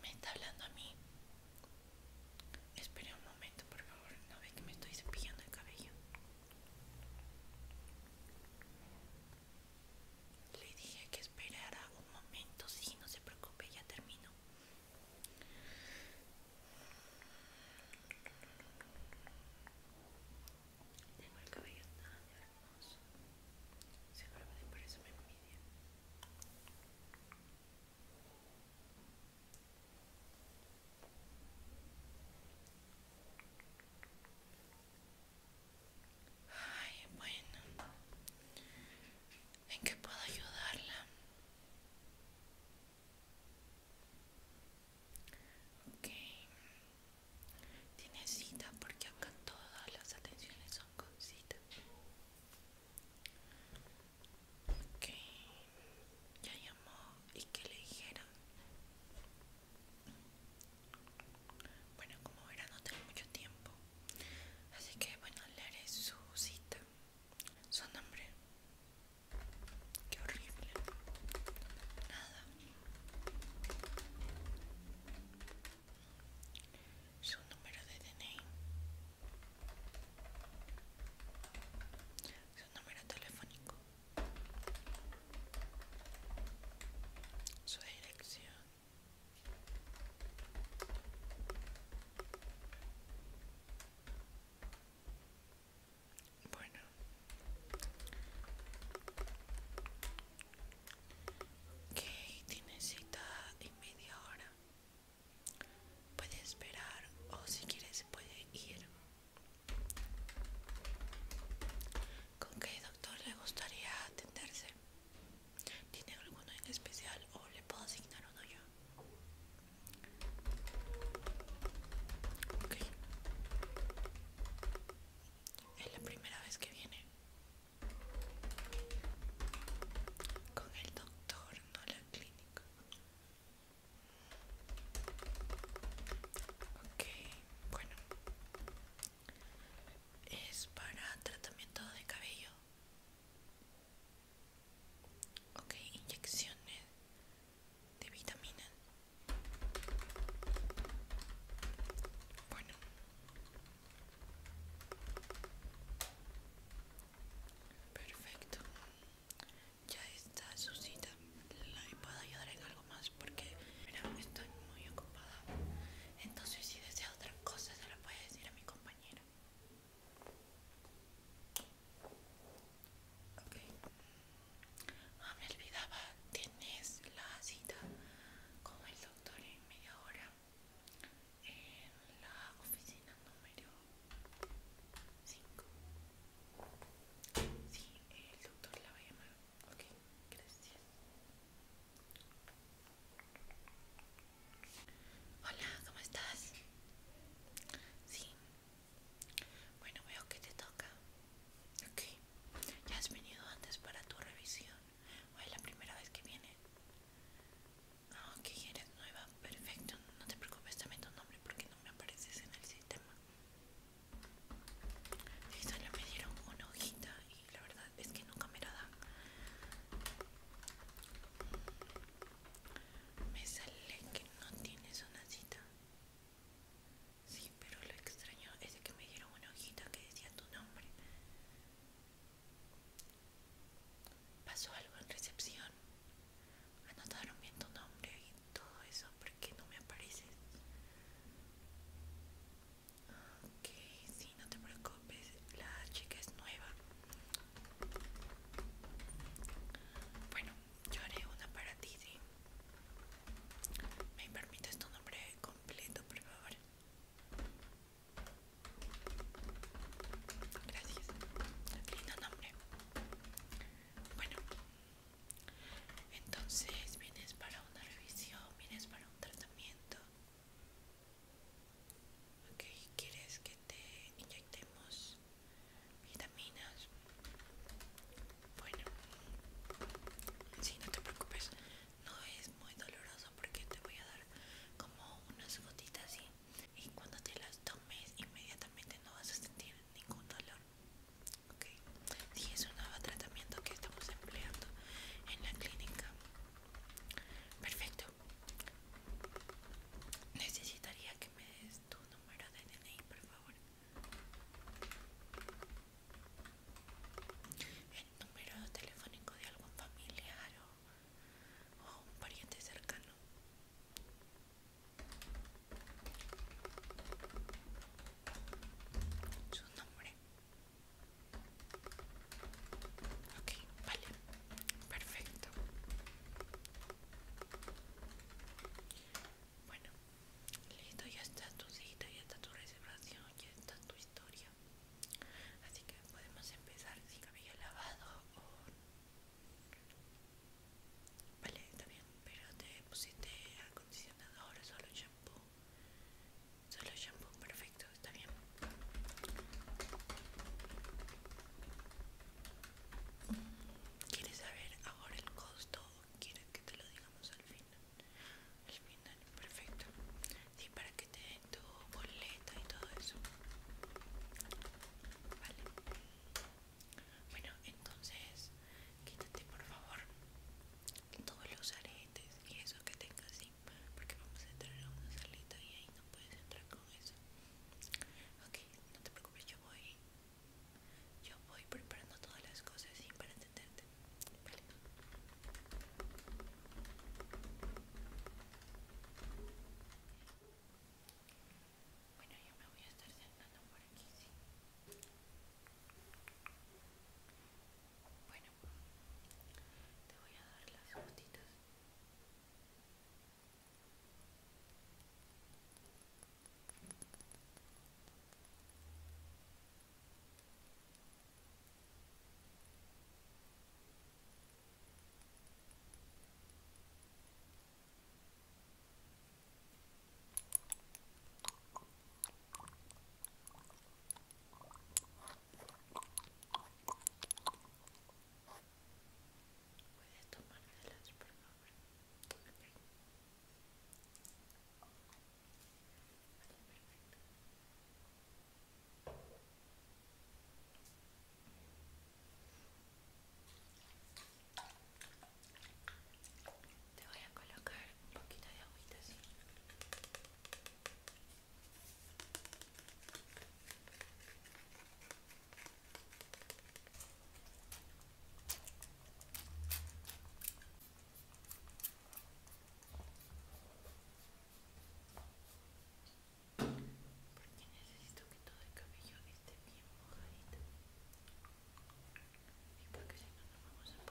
Me está hablando a mí. Espere un momento, por favor. No ve que me estoy cepillando el cabello. Le dije que esperara un momento, sí, no se preocupe, ya termino. Tengo el cabello tan hermoso. se de por eso me envidia. Ay, bueno. ¿En qué puedo ayudarla? Ok. Tiene cita porque acá todas las atenciones son con cita. Ok. Ya llamó y que le dijeron. Bueno, como verán no tengo mucho tiempo, así que bueno, le haré su cita, su nombre. Qué horrible. Nada. Su número de DNI. Su número telefónico su dirección bueno que tiene cita en media hora puede esperar o si quiere se puede ir ¿Con qué doctor le gustaría atenderse? ¿Tiene alguno en especial o le puedo asignar uno yo? Ok. Es la primera vez que viene. Con el doctor, no la clínica. Ok, bueno es para tratamiento de cabello ok inyecciones de vitaminas, bueno perfecto ya está su cita la puedo ayudar en algo más porque estoy muy ocupada. Entonces, si desea otra cosa, se la puede decir a mi compañera. Ok. Ah, me olvidaba, tienes la cita con el doctor en media hora en la oficina número 5. Sí, el doctor la va a llamar. Ok, gracias. Hola, ¿cómo estás? Sí. Bueno, veo que te toca. Ok. ¿Ya has venido antes para tu revisión? ¿O es la primera vez que vienes? Ah, ok, eres nueva. Perfecto. No te preocupes, también tu nombre porque no me apareces en el sistema. Sí, solo me dieron una hojita y la verdad es que nunca me lo da. Me sale que no tienes una cita. Sí, pero lo extraño es que me dieron una hojita que decía tu nombre. Pasó algo en recepción. Anotaron bien tu nombre y todo eso porque no me apareces. Ok, sí, no te preocupes, la chica es nueva. Bueno, yo haré una para ti, ¿Me permites tu nombre completo, por favor? Gracias. Lindo nombre. Bueno, entonces vienes para una revisión, vienes para un tratamiento. Ok, ¿quieres que te inyectemos vitaminas? Bueno, si no te preocupes, no es muy doloroso porque te voy a dar como unas gotitas y cuando te las tomes inmediatamente no vas a sentir ningún dolor. Ok, si, es un nuevo tratamiento que estamos empleando en la clínica. Perfecto. Necesitaría que me des tu número de DNI, por favor. El número telefónico de algún familiar o un pariente cercano. Su nombre. Ok, vale, perfecto. Bueno, listo, ya está tu cita, ya está tu reservación, ya está tu historia. Así que podemos empezar sin cabello lavado Vale, está bien, pero te pusiste acondicionador o solo shampoo. Solo shampoo, perfecto, está bien. ¿Quieres saber ahora el costo o quieres que te lo digamos al final? Al final, perfecto. Sí, para que te den tu boleta y todo eso. Vale. Bueno, entonces, quítate por favor. Todo lo usaré y eso que tengas sí porque vamos a entrar a una salita y ahí no puedes entrar con eso ok no te preocupes yo voy yo voy preparando todas las cosas ¿sí? para entenderte vale bueno yo me voy a estar sentando por aquí sí bueno, te voy a dar las gotitas Puedes tomártelas, por favor. perfecto. Te voy a colocar un poquito de agüita porque necesito que todo el cabello esté bien mojadito. Y porque si no, no vamos a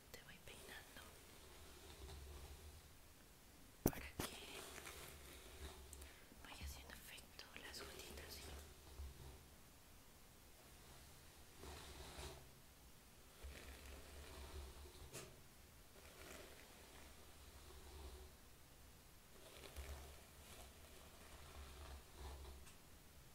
te voy peinando para que vaya haciendo efecto las gotitas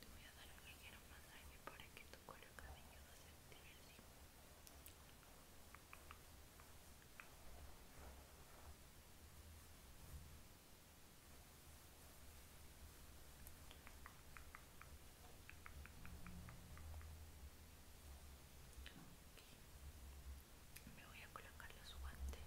Te voy a dar un ligero masaje para que tu cuero cabelludo se active así. Okay. Me voy a colocar los guantes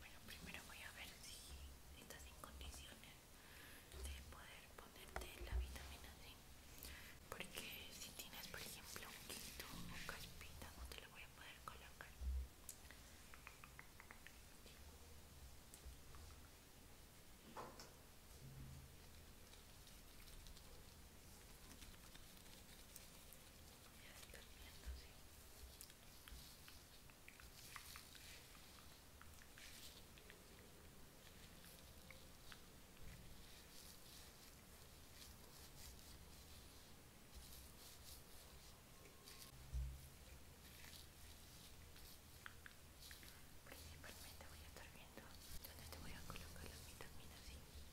Bueno, primero voy a ver si estás en condiciones de poder ponerte la vitamina C Porque si tienes, por ejemplo, un quito o caspita, no te lo voy a poder colocar estar Principalmente voy a estar viendo donde te voy a colocar las vitaminas, ¿sí?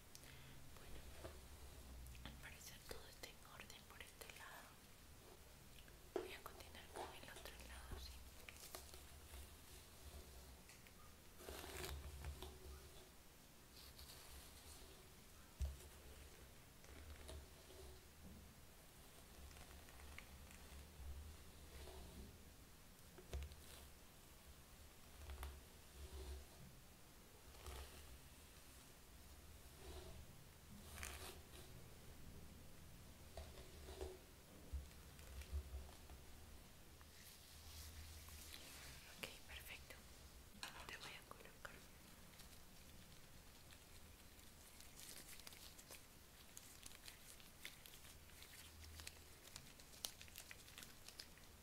Bueno, al parecer todo está en orden por este lado. Voy a continuar con el otro lado, sí. Ok, perfecto. Te voy a colocar.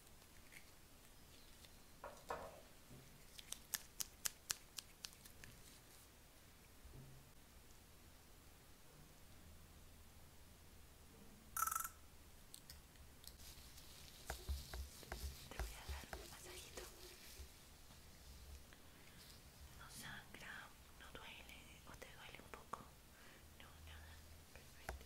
Te voy a dar un masajito. No sangra, no duele, o te duele un poco. No, nada, perfecto.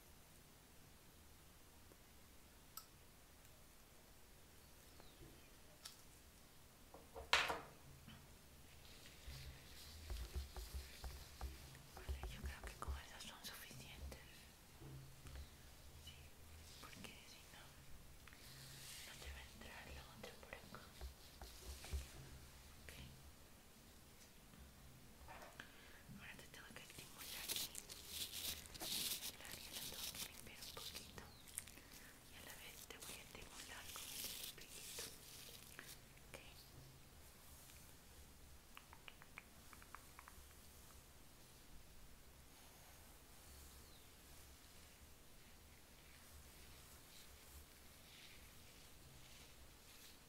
Vale, yo creo que con esas son suficientes. Sí, porque si no, no te va a entrar el otra por acá. Okay. Ahora te tengo que limpiar un poquito y a la vez te voy a estimular con un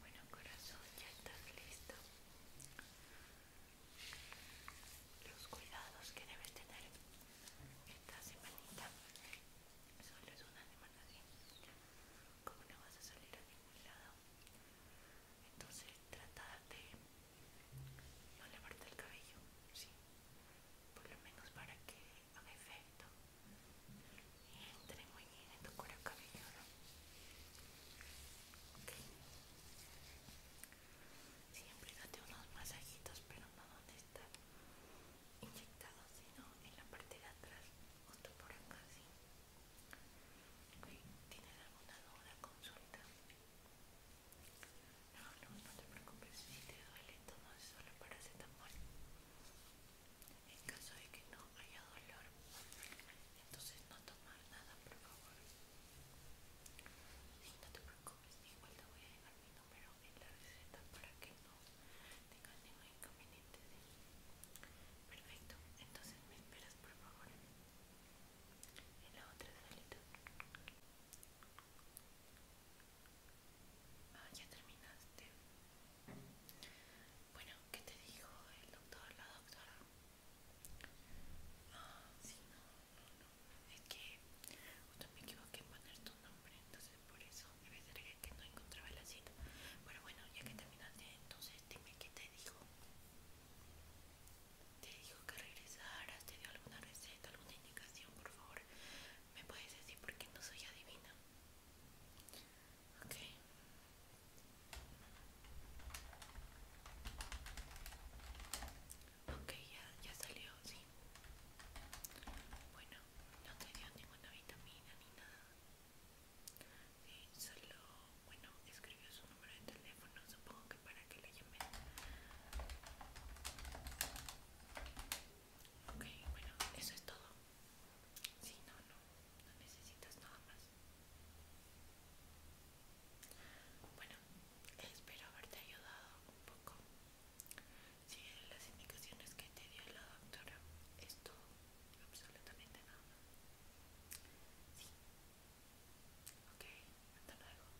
Bueno, corazón, ya estás listo. Los cuidados que debes tener esta semanita. Solo es una semana así. Como no vas a salir a ningún lado. Entonces trata de no lavarte el cabello, ¿sí? por lo menos para que haga efecto y entre muy bien en tu cuero cabelludo siempre date unos masajitos pero no donde está inyectado, sino en la parte de atrás otro por acá así ¿tienes alguna duda consulta? No, no, te preocupes, si te duele entonces solo paracetamol. En caso de que no haya dolor, entonces no tomar nada, por favor. no te preocupes, igual te voy a dejar mi número en la receta para que no tengas ningún inconveniente. Perfecto, entonces me esperas, por favor. En la otra salita. Ah, ya terminaste. Bueno, ¿qué te dijo el doctor, la doctora? Ah, sí, no, no, no. Es que justo me equivoqué en poner tu nombre, entonces por eso debe ser que no encontraba la cita. Pero bueno, ya que terminaste, entonces dime qué te dijo. ¿Te dijo que regresaras? ¿Te dio alguna receta, alguna indicación, por favor? me puedes decir por qué no soy adivina. Ok. Ok, ya, ya salió, sí. Bueno, no te dio ninguna vitamina ni nada. Sí, solo, bueno, escribió su número de teléfono, supongo que para que le llamen. Ok, bueno, eso es todo. Si no, no, no necesitas nada más. Bueno, espero haberte ayudado un poco. si las indicaciones que te dio la doctora. Esto, absolutamente nada Ok, hasta luego.